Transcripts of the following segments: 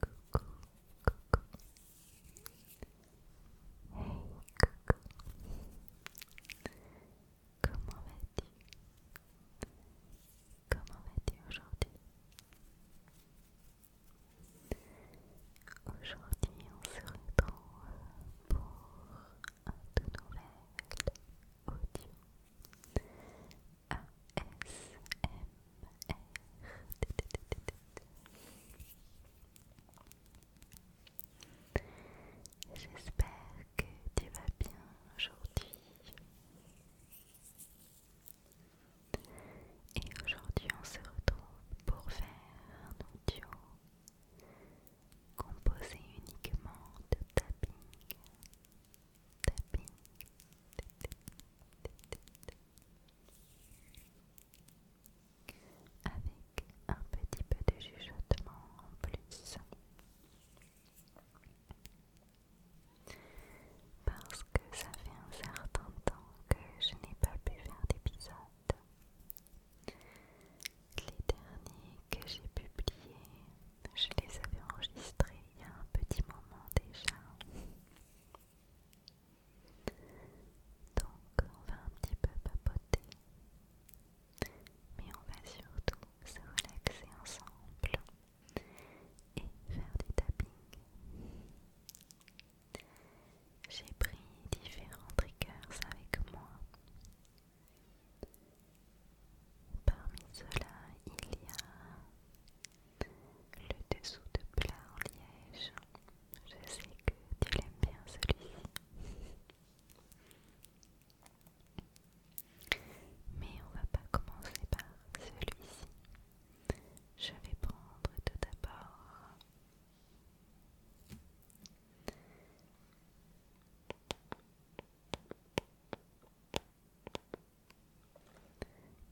Comment vas-tu Comment vas-tu aujourd'hui Aujourd'hui, on se retrouve pour un tout nouvel audio J'espère que tu vas bien aujourd'hui. Et aujourd'hui, on se retrouve pour faire un audio composé uniquement de tapping avec un petit peu de chuchotement en plus. Parce que ça fait un certain temps que je n'ai pas pu faire d'épisode. Les derniers que j'ai publiés, je les avais enregistrés il y a un petit moment déjà. Donc on va un petit peu papoter, mais on va surtout se relaxer ensemble et faire du tapping. J'ai pris différents triggers avec moi. Parmi ceux-là, il y a le dessous de plat en liège. Je sais que tu l'aimes bien celui-ci. Mais on va pas commencer par celui-ci. Je vais prendre tout d'abord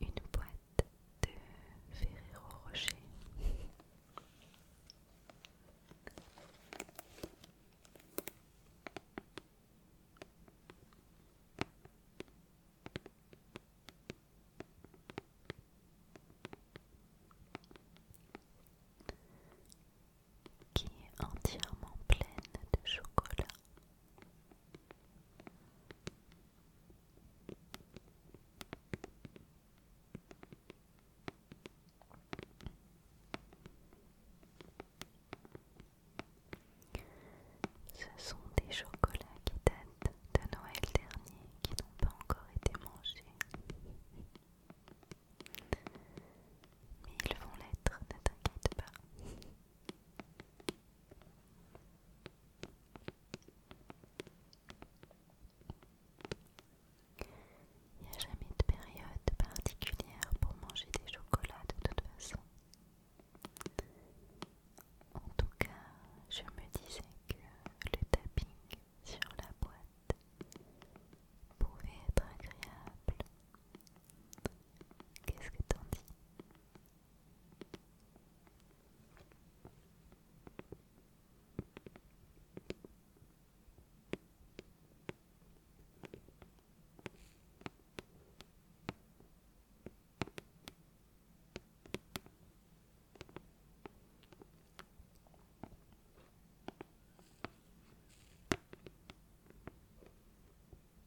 une boîte de Ferrero Rocher. qui est entièrement pleine de chocolat ce sont des chocolats qui datent de Noël dernier qui n'ont pas encore été mangés. Mais ils vont l'être, ne t'inquiète pas. Il n'y a jamais de période particulière pour manger des chocolats de toute façon. En tout cas, je me disais que le tapping sur la boîte pouvait être agréable Qu'est-ce que t'en dis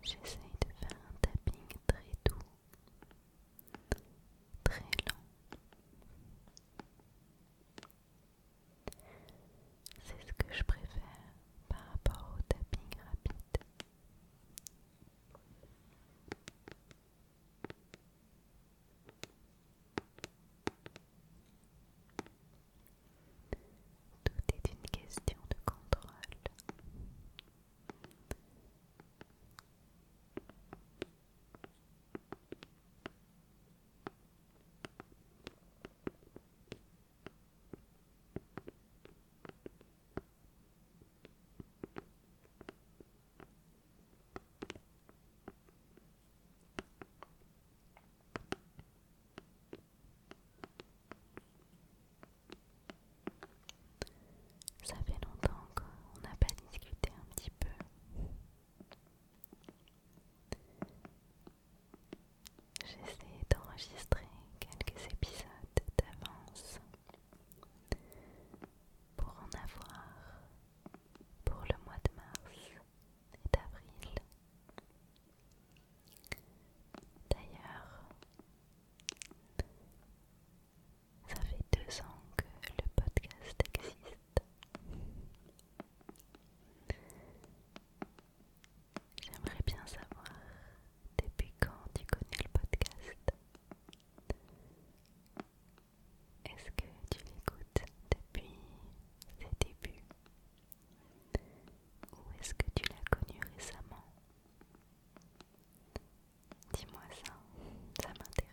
J'essaie de faire un tapping très doux, très lent. C'est ce que je préfère par rapport au tapping rapide. Tout est une question de contrôle. Ça fait longtemps qu'on n'a pas discuté un petit peu. J'essaie d'enregistrer quelques épisodes d'avance pour en avoir pour le mois de mars et d'avril. D'ailleurs, ça fait deux ans que le podcast existe. J'aimerais bien savoir depuis quand tu connais le podcast. Est-ce que tu l'écoutes depuis ses débuts Ou est-ce que tu l'as connu récemment Dis-moi ça, ça m'intéresse.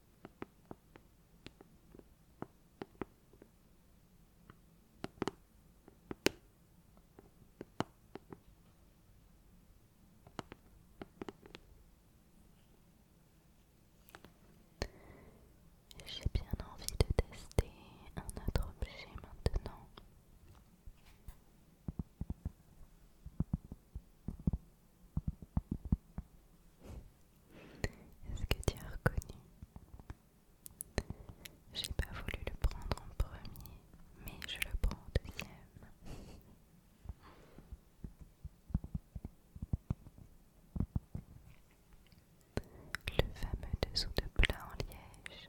J'ai bien envie de tester un autre objet maintenant. Est-ce que tu as reconnu J'ai pas voulu le prendre en premier, mais je le prends en deuxième. Le fameux dessous de plat en liège.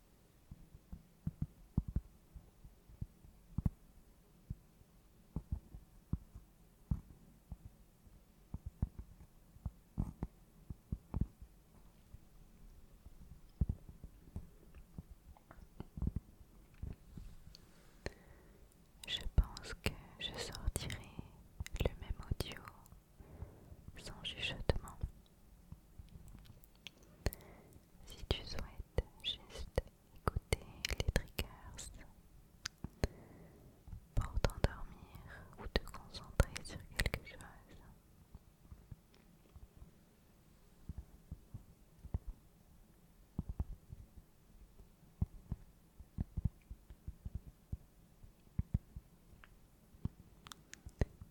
Je pense que je sortirai le même audio sans chuchotement. Si tu souhaites juste écouter les triggers pour t'endormir ou te concentrer sur quelque chose.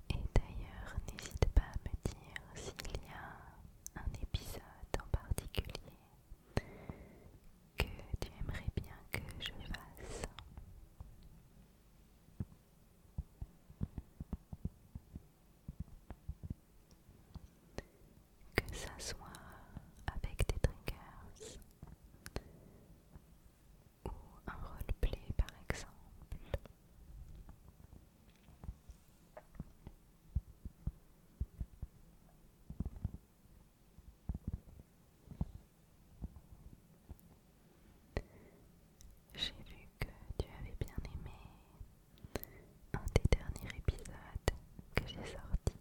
Et d'ailleurs, n'hésite pas à me dire s'il y a un épisode en particulier que tu aimerais bien que je fasse. Que ça soit avec des drinkers ou un roleplay par exemple. J'ai vu que tu avais bien aimé un des derniers épisodes que j'ai sorti,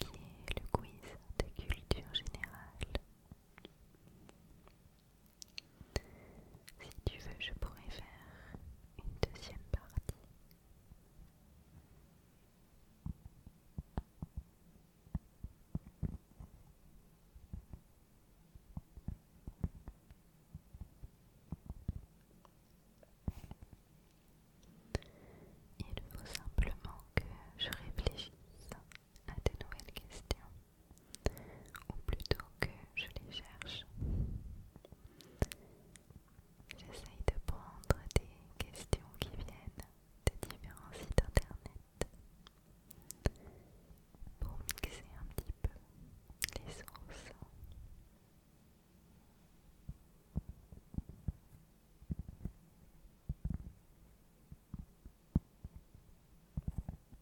qui est le quiz de culture générale. Si tu veux, je pourrais faire une deuxième partie. Il faut simplement que je réfléchisse à de nouvelles questions, ou plutôt que je les cherche. J'essaye de prendre des questions qui viennent de différents sites internet pour mixer un petit peu les sources.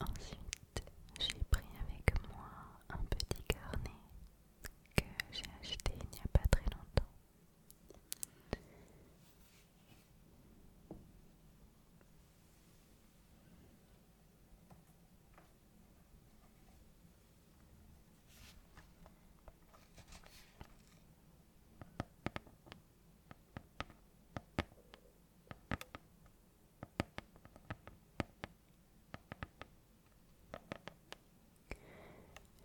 Ensuite, j'ai pris avec moi un petit carnet que j'ai acheté il n'y a pas très longtemps.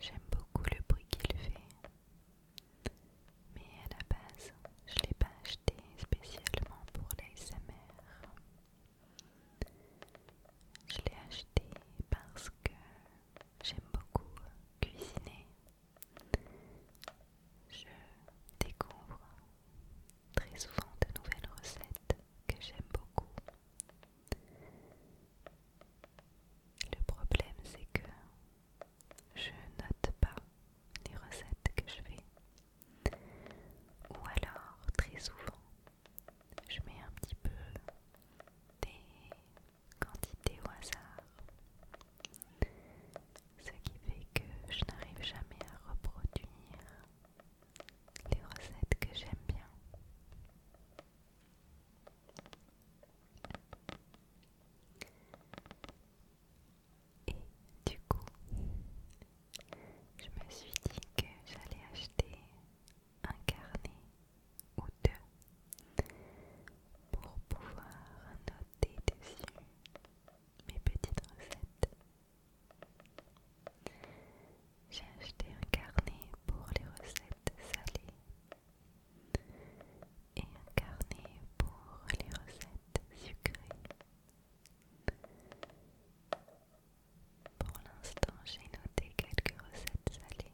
J'aime beaucoup le bruit qu'il fait, mais à la base, je ne l'ai pas acheté spécialement pour l'ASMR. Je l'ai acheté parce que j'aime beaucoup cuisiner. Je découvre très souvent de nouvelles recettes que j'aime beaucoup. Le problème c'est que je note pas les recettes que je fais. Ou alors très souvent je mets un petit peu des quantité au hasard. Ce qui fait que je n'arrive jamais à reproduire les recettes que j'aime bien. Et du coup, je me suis dit que j'allais acheter un carnet ou deux pour pouvoir noter dessus mes petites recettes. J'ai acheté un carnet pour les recettes salées et un carnet pour les recettes sucrées. Pour l'instant, j'ai noté quelques recettes salées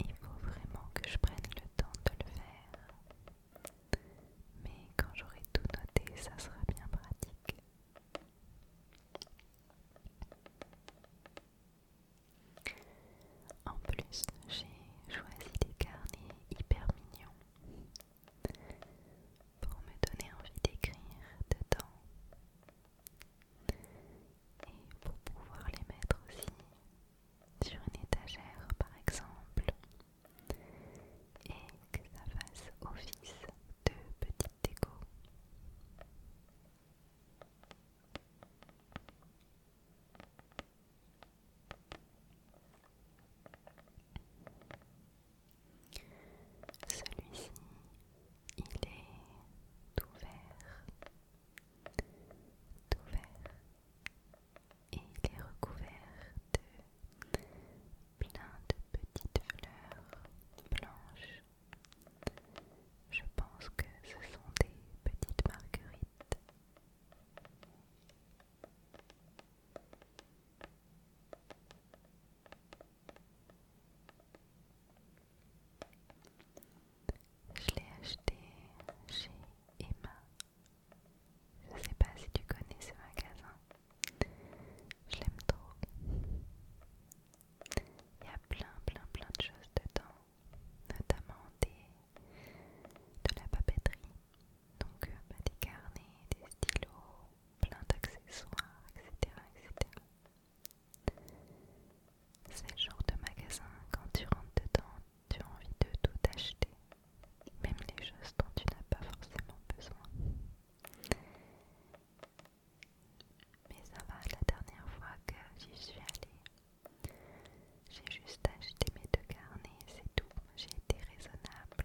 il faut vraiment que je prenne le temps de le faire. Mais quand j'aurai tout noté, ça sera bien pratique. En plus, j'ai choisi des carnets hyper mignons pour me donner envie d'écrire dedans et pour pouvoir les mettre aussi sur une étagère par exemple et que ça fasse office de petite déco. Celui-ci, il est ouvert, vert, et il est recouvert de plein de petites fleurs blanches. Je pense que ce sont des petites marguerites. Je l'ai acheté chez Emma je sais pas si tu connais ce magasin. Je l'aime trop. Il y a plein, plein, plein de choses dedans, notamment de la papeterie. Donc euh, bah, des carnets, des stylos, plein d'accessoires, etc., etc. C'est le genre de magasin, quand tu rentres dedans, tu as envie de tout acheter, même les choses dont tu n'as pas forcément besoin. Mais ça va, la dernière fois que j'y suis allée, j'ai juste acheté mes deux carnets, c'est tout, j'ai été raisonnable.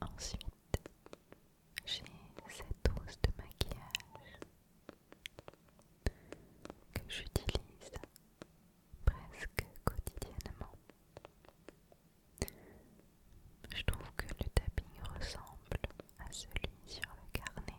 Ensuite, j'ai cette rose de maquillage que j'utilise presque quotidiennement. Je trouve que le tapis ressemble à celui sur le carnet.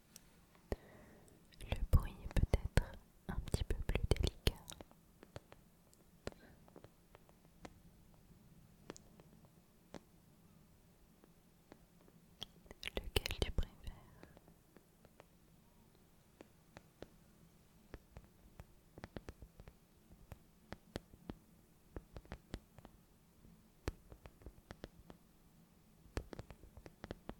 Le bruit est peut-être un petit peu plus délicat. Lequel tu préfères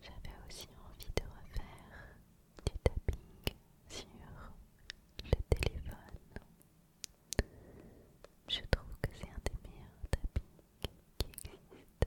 J'avais aussi envie de refaire du tapping sur le téléphone. Je trouve que c'est un des meilleurs tappings qui existe.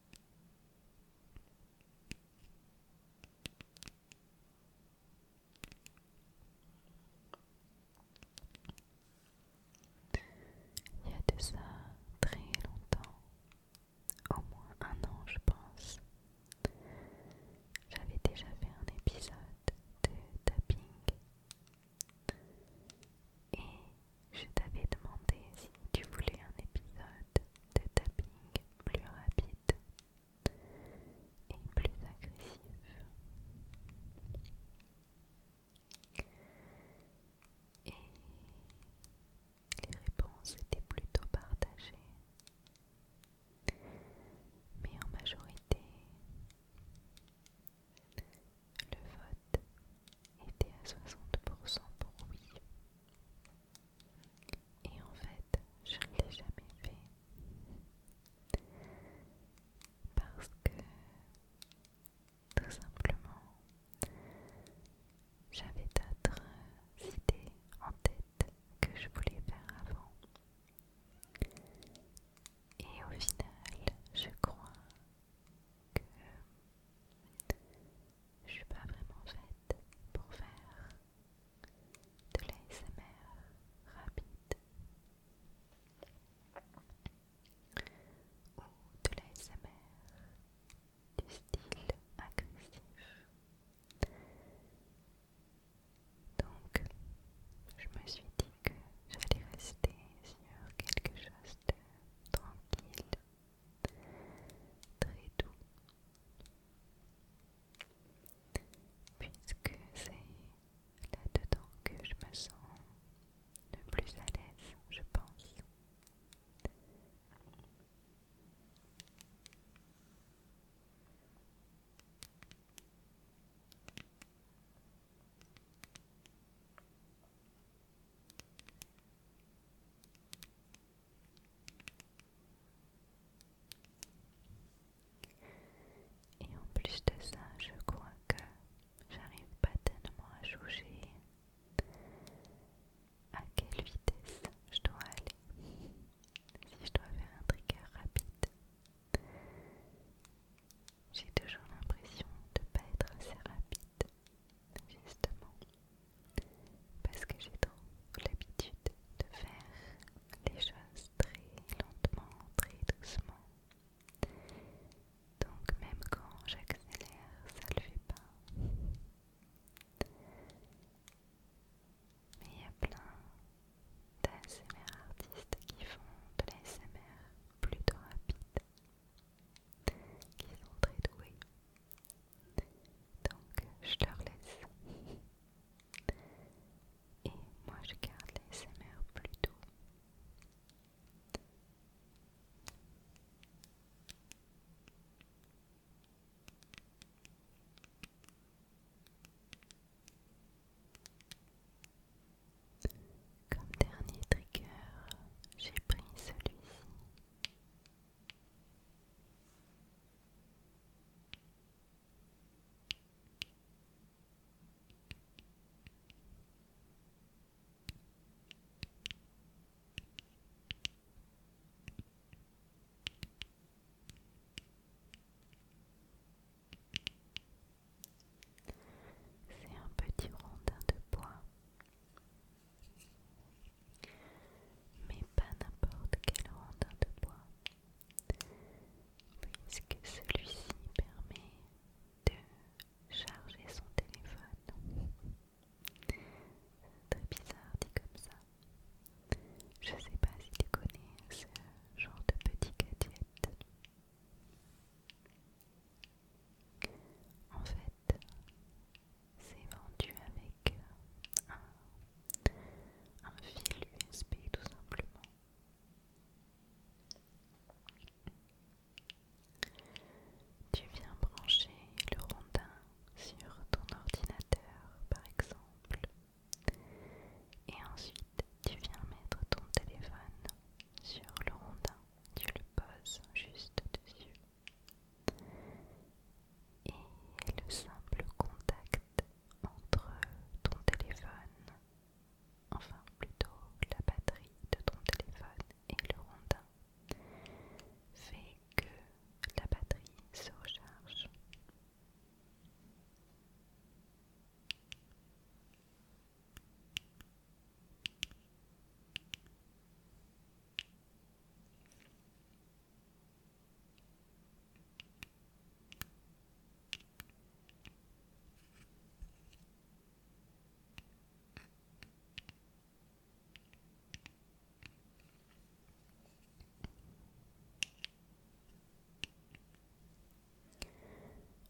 Il y a de ça très longtemps, au moins un an je pense, j'avais déjà fait un épisode de tapping et je t'avais demandé si tu voulais un épisode de tapping plus rapide et plus agressif. Et les réponses étaient plutôt partagées. Mais en majorité, le vote était à 60% pour oui. Et en fait, je ne l'ai jamais fait. Parce que, tout simplement, j'avais d'autres idées en tête que je voulais faire avant. Et au final, je crois que je suis pas vraiment faite pour faire de l'ASMR rapide ou de l'ASMR du style agressif. Donc, je me suis dit que j'allais rester sur quelque chose de tranquille très doux, puisque c'est là-dedans que je me sens le plus à l'aise, je pense. Et en plus de ça, je crois que j'arrive pas tellement à juger à quelle vitesse je dois aller. Si je dois faire un trigger rapide, j'ai toujours l'impression de pas être assez rapide justement, parce que j'ai trop l'habitude de faire les choses très lentement, très doucement. Donc même quand j'accélère, ça ne le fait pas. Mais il y a plein d'ASMR artistes qui font de l'ASMR plutôt rapide qui sont très doués. Donc je leur laisse. Et moi je garde les plus plutôt. Comme dernier trigger, j'ai pris celui-ci. C'est un petit rondin de bois mais pas n'importe quel rondin de bois, puisque celui-ci permet de charger son téléphone. Très bizarre dit comme ça. Je sais pas si tu connais ce genre de petit gadget. En fait, c'est vendu avec un, fil USB tout simplement. Tu viens brancher le rondin sur ton ordinateur par exemple et ensuite tu viens mettre ton téléphone sur le rondin, tu le poses juste dessus et le simple contact entre ton téléphone, enfin plutôt la batterie de ton téléphone et le rondin, fait que la batterie se recharge.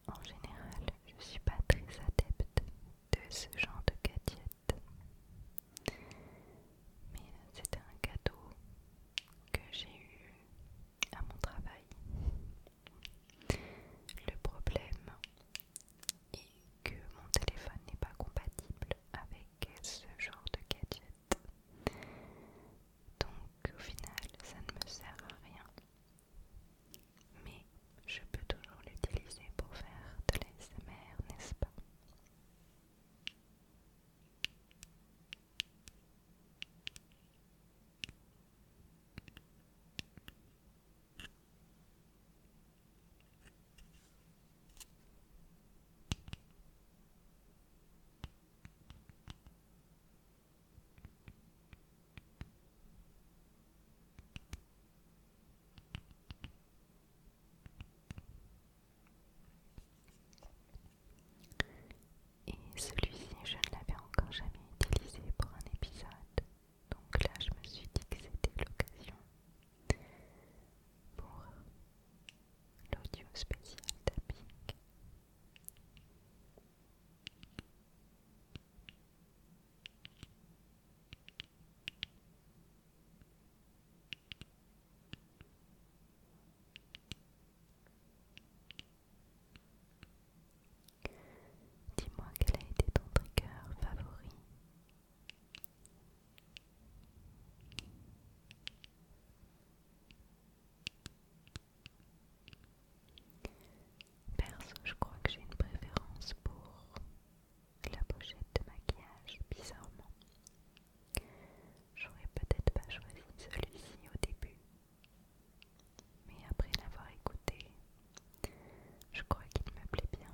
En général, je ne suis pas très adepte de ce genre de gadget mais c'était un cadeau que j'ai eu à mon travail. Le problème est que mon téléphone n'est pas compatible avec ce genre de gadget. Donc au final, ça ne me sert à rien. Mais je peux toujours l'utiliser pour faire de l'ASMR, n'est-ce pas et celui-ci, je ne l'avais encore jamais utilisé pour un épisode. Donc là, je me suis dit que c'était l'occasion pour l'audio spécial tapping. Dis-moi quel a été ton trigger favori. Perso, je crois que j'ai une préférence pour la pochette de maquillage, bizarrement. J'aurais peut-être pas choisi celui-ci au début, mais après l'avoir écouté, je crois qu'il me plaît bien.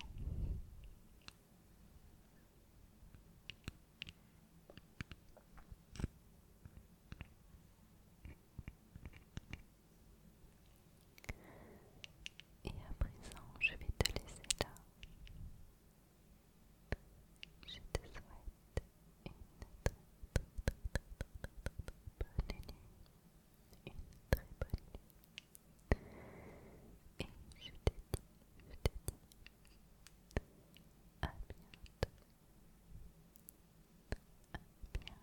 Et à présent, je vais te laisser là. Je te souhaite une très bonne nuit. Une très bonne nuit. Et je te dis, je te dis à bientôt. À bientôt.